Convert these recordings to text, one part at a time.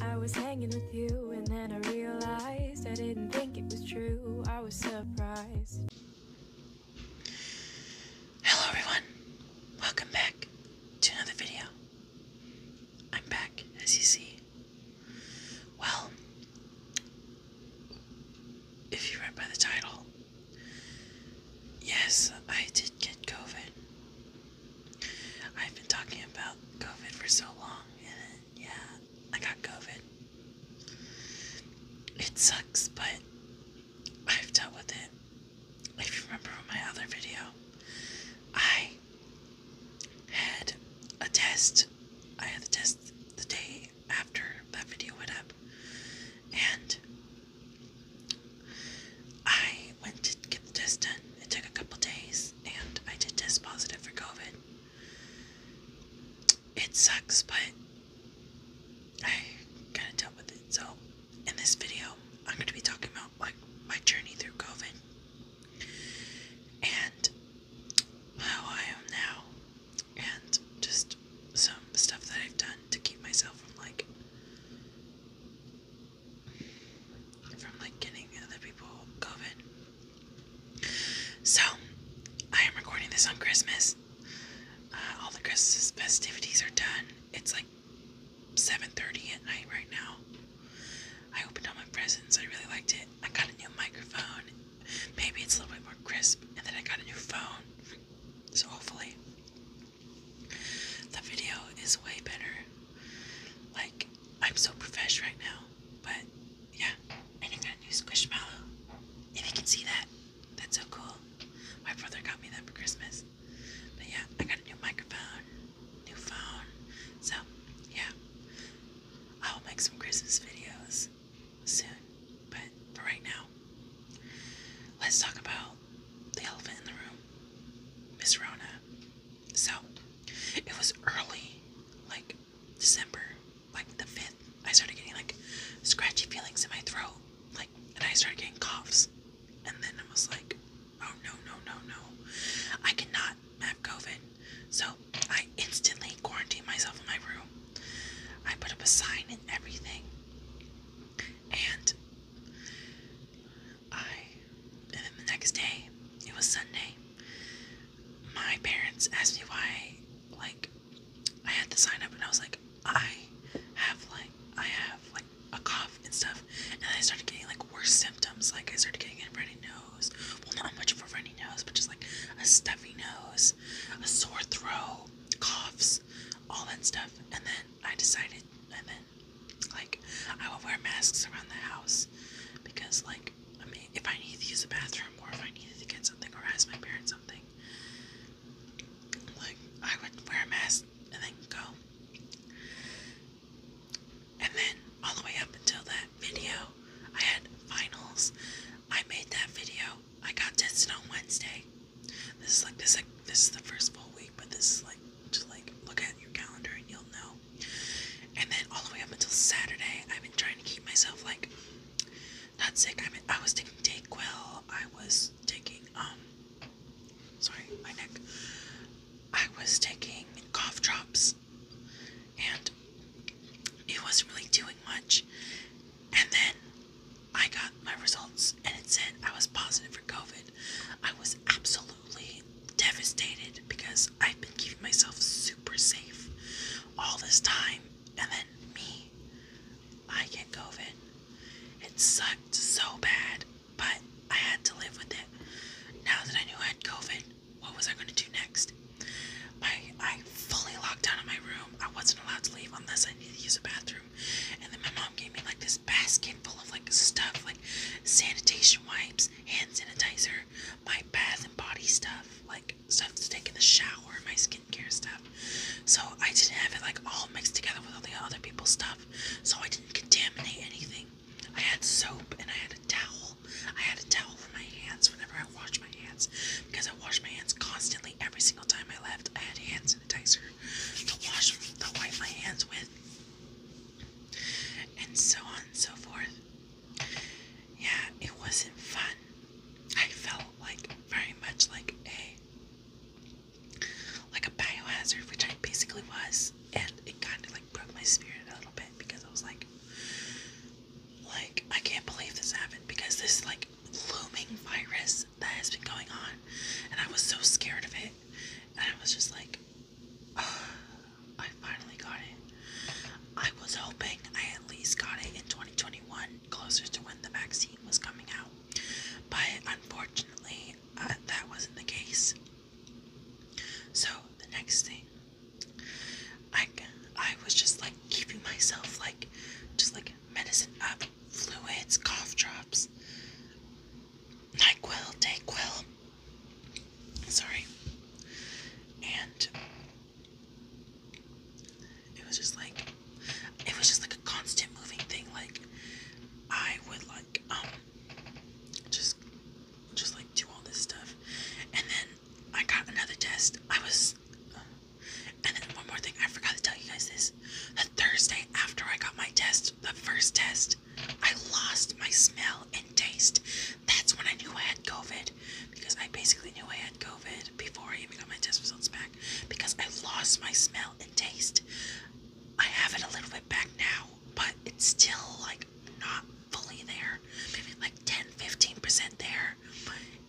I was hanging with you and then I realized I didn't think it was true. I was surprised. Hello everyone. Welcome back to another video. I'm back as you see. Well, if you read by the title, yes, I did get COVID. I've been talking about COVID for so long, and yeah, I got COVID. It sucks, but I've dealt with it. If you remember my other video, I had a test. I had the test the day after that video went up, and I went to get the test done. It took a couple days and I did test positive for COVID. It sucks, but I gotta deal with it. So, in this video, I'm gonna be talking about like my journey through COVID and how I am now, and just some stuff that I've done to keep myself from like from like getting other people COVID. So I am recording this on Christmas. Uh, all the Christmas festivities are done. It's like 7:30 at night right now. I opened all my presents. I really liked it. I got a new microphone. Maybe it's a little bit more crisp, and then I got a new phone. So hopefully the video is way better. Like I'm so profesh right now, but yeah. And I got a new Squishmallow. If you can see that, that's so cool. My brother got me that for Christmas. But yeah, I got a new microphone, new phone. So yeah, I will make some Christmas videos soon. But for right now, let's talk about the elephant in the room, Miss Rona. So it was early, like December, like the 5th. I started getting like scratchy feelings in my throat, like, and I started getting coughs. And then I was like, oh no, no, no, no. I cannot have COVID. So I instantly quarantined myself in my room. I put up a sign and everything. And I, and then the next day, it was Sunday. My parents asked me why, like, I had to sign up, and I was like, I have like, I have like a cough and stuff, and I started getting like worse symptoms. Like I started getting a runny nose. Well, not much of a runny nose, but just like a stuffy nose, a sore throat, coughs, all that stuff. And then I decided, and then like, I will wear masks around the house because, like, I mean, if I needed to use the bathroom or if I needed to get something or ask my parents something, like, I would wear a mask and then go. And then, all the way up until that video, I had finals. I made that video. I got tested on Wednesday. This is like this. Like, this is the first full week, but this is like just like look at your calendar and you'll know. And then all the way up until Saturday, I've been trying to keep myself like not sick. I mean, I was taking Dayquil. I was taking um, sorry, my neck. I was taking cough drops, and it wasn't really doing much. And then I got my results, and it said I was positive for COVID. I was absolutely absolutely devastated because I've been keeping myself super safe all this time, and then me, I get COVID. It sucked so bad, but I had to live with it. Now that I knew I had COVID, what was I going to do next? I, I fully locked down in my room. I wasn't allowed to leave unless I needed to use a bathroom. And then my mom gave me like this basket full of like stuff, like sanitation wipes, hand sanitizer, my bath and body stuff, like stuff to take in the shower, my skincare stuff. So I didn't have it like all mixed together with all the other people's stuff. So I didn't contaminate anything. I had soap and I had a towel. I had a towel for my hands whenever I washed my hands because I washed my hands constantly every single time I left. I had hand sanitizer to wash, to wipe my hands with. And so on and so forth. Yeah, it wasn't fun. I felt like very much like a like a biohazard, which I basically was, and it kind of like broke my spirit a little bit because I was like, like I can't believe this happened because this like looming virus that has been going on, and I was so scared of it, and I was just like, I finally got it. I was hoping I at least got it in 2021, closer to when the vaccine was coming out. But unfortunately, uh, that wasn't the case. So the next thing, I I was just like keeping myself like just like medicine up, fluids, cough drops, Nyquil, Dayquil, Sorry. And it was just like it was just like a constant moving thing. Like I would like um just just like do all this stuff. And then I got another test. I was and then one more thing, I forgot to tell you guys this. The Thursday after I got my test, the first test, I lost my smell and taste. That's when I knew I had COVID because I basically knew I had COVID before I even got my test results back because I lost my smell and taste. I have it a little bit back now, but it's still like not fully there. Maybe like 10 15% there.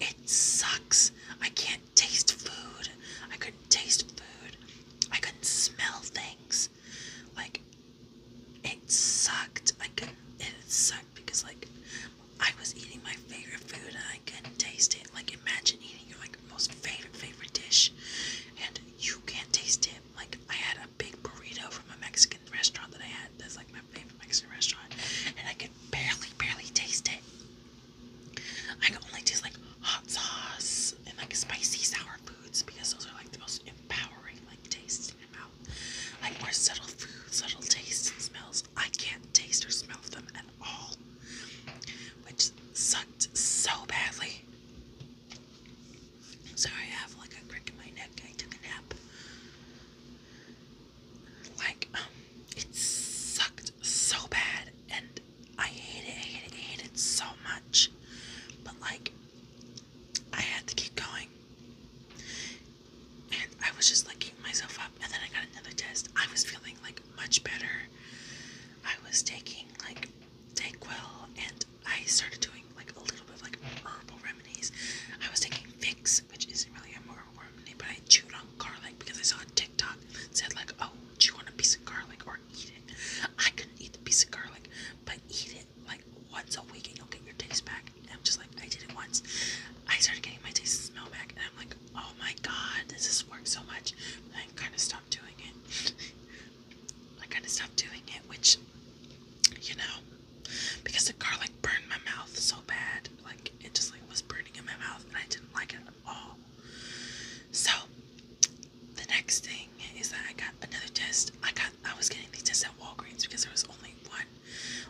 It sucks. I can't taste food. I couldn't taste food. I couldn't smell things like it sucked. Like it sucked because like I was eating my favorite food and I couldn't taste it. Like imagine eating your like most favorite favorite dish and you can't taste it. Like I had a big burrito from a Mexican restaurant that I had that's like my favorite Mexican restaurant and I could barely barely taste it. I could only taste like hot sauce and like spicy sour foods because those are like the most empowering like taste in my mouth. Like more subtle food, subtle tastes and smells. I can't taste or smell them at all. Which sucked so badly. Sorry, I have like a crick in my neck. I took a nap. Like, um, it sucked so bad and I hate it, hate so much. But like I had to keep going. And I was just like myself up. And then I got another test. I was feeling like much better. I was taking like Dayquil and I started doing like a little bit of like herbal remedies. I was taking Vicks, which isn't really a herbal remedy, but I chewed on garlic because I saw a TikTok said like, oh, chew on a piece of garlic or eat it. I couldn't eat the piece of garlic, but eat it like once a week and you'll get your taste back. I'm just like, I did it once. I started getting my taste and smell back, and I'm like, oh my god, this is worked so much. I kind of stopped doing it. I kind of stopped doing it, which, you know, because the garlic burned my mouth so bad. Like, it just like was burning in my mouth, and I didn't like it at all. So, the next thing is that I got another test. I got I, was getting these tests at Walgreens because there was only one,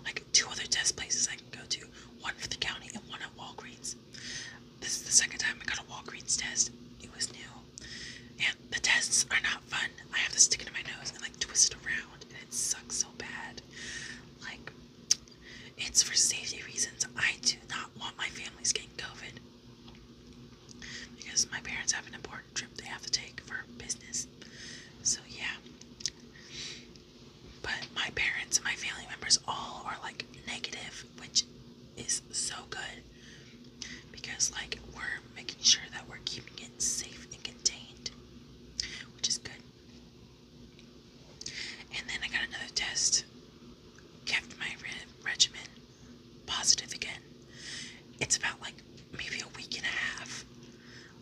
like two other test places I can go to, one for the county and one at Walgreens. This is the second time I got a Walgreens test. It was new. And the tests are not fun. I have to stick it in my nose and like twist it around and it sucks so bad. Like it's for safety reasons. I do not want my family's getting COVID because my parents have an important trip they have to take for business. So, yeah. But my parents and my family members all are like negative, which is so good because, like, we're making sure that we're keeping it safe and contained, which is good. And then I got another test, kept my re regimen positive again. It's about like maybe a week and a half.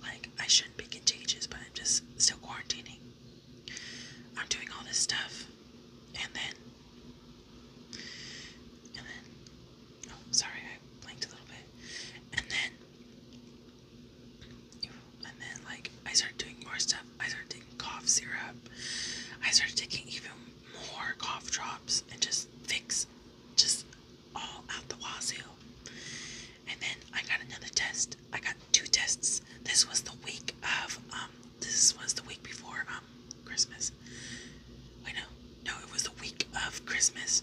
Like, I shouldn't be contagious, but I'm just still quarantining. I'm doing all this stuff, and then, and then, oh, sorry, I blinked a little bit, and then, and then, like, I started doing more stuff. I started taking cough syrup. I started taking even more cough drops and just fix, just all out the wazoo. And then I got another test. I got two tests. This was the week of um this was the week before um Christmas. Wait no, no, it was the week of Christmas.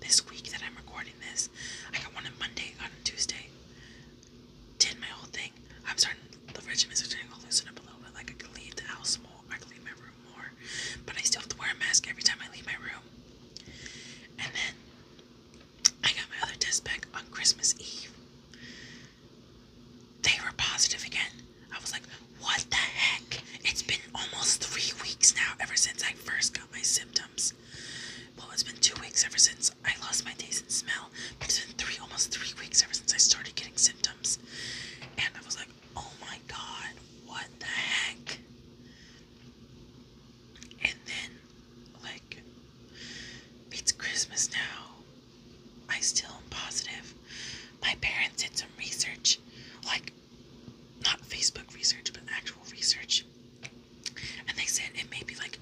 This week that I'm recording this. I got one on Monday, got on Tuesday. Did my whole thing. I'm starting the regiment's starting to loosen up a little bit. Like I could the house more. I could my room more, but I still have to wear a mask every time I leave my room. And then I got my other test back on Christmas Eve. They were positive again. I was like, what the heck? It's been almost three weeks now ever since I first got my symptoms. Well, it's been two weeks ever since I lost my taste and smell, but it's been three, almost three weeks ever since I started getting symptoms. And I was like, oh my god, what the heck? And then, like, it's Christmas now. I still am positive. My parents did some research, like, not Facebook research, but actual research. And they said it may be like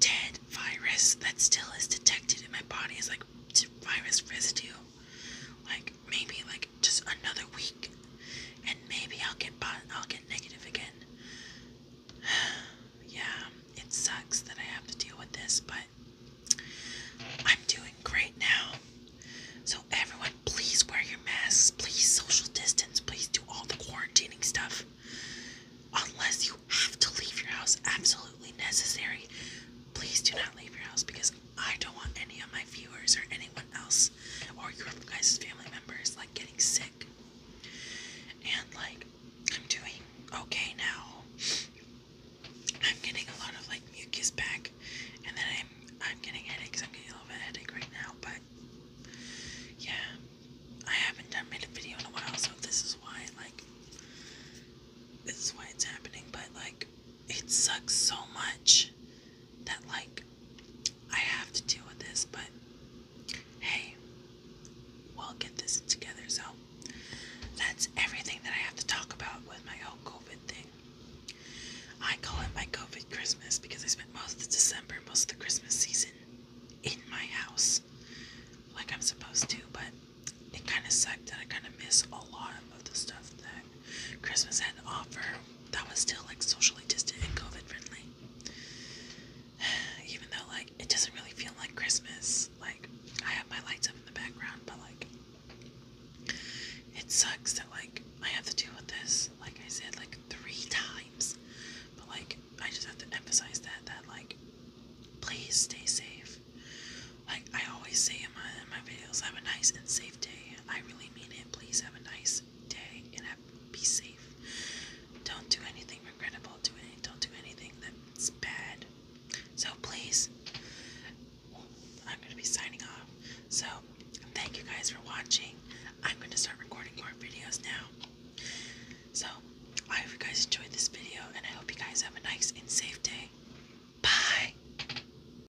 dead virus that still is detected in my body as like virus residue. Like maybe like just another week, and maybe I'll get I'll get negative again. yeah, it sucks that I have to deal with this, but I'm doing great now. So everyone, please wear your masks. Please social distance. Please do all the quarantining stuff. Unless you have to leave your house, absolutely necessary. Please do not leave your house because I don't want any of my viewers or anyone else or your guys' family members like getting sick. And like, I'm doing okay now. I'm getting a lot of like mucus back, and then I'm I'm getting headaches. I'm getting a little bit of headache right now, but yeah, I haven't done made a video in a while, so this is why like this is why it's happening. But like, it sucks so much that like I have to deal with this, but hey, we'll get this together. So that's everything that I have to talk about with my whole COVID thing. I call it my COVID Christmas because I spent most of December, most of the Christmas season in my house like I'm supposed to, but it kind of sucked and I kind of miss a lot of the stuff that Christmas had to offer that was still like socially distant and COVID friendly. Even though like it doesn't really feel like Christmas. Like I have my lights up in the background, but like it sucks that like I have to deal with this, like I said, like three times. But like I just have to emphasize that that like please stay safe. Like I always say in my in my videos, have a nice and safe day. I really mean it and please have a nice day and have, be safe. Don't do anything regrettable. don't do anything that's bad. So please, I'm going to be signing off. So thank you guys for watching. I'm going to start recording more videos now. So I hope you guys enjoyed this video and I hope you guys have a nice and safe day. Bye.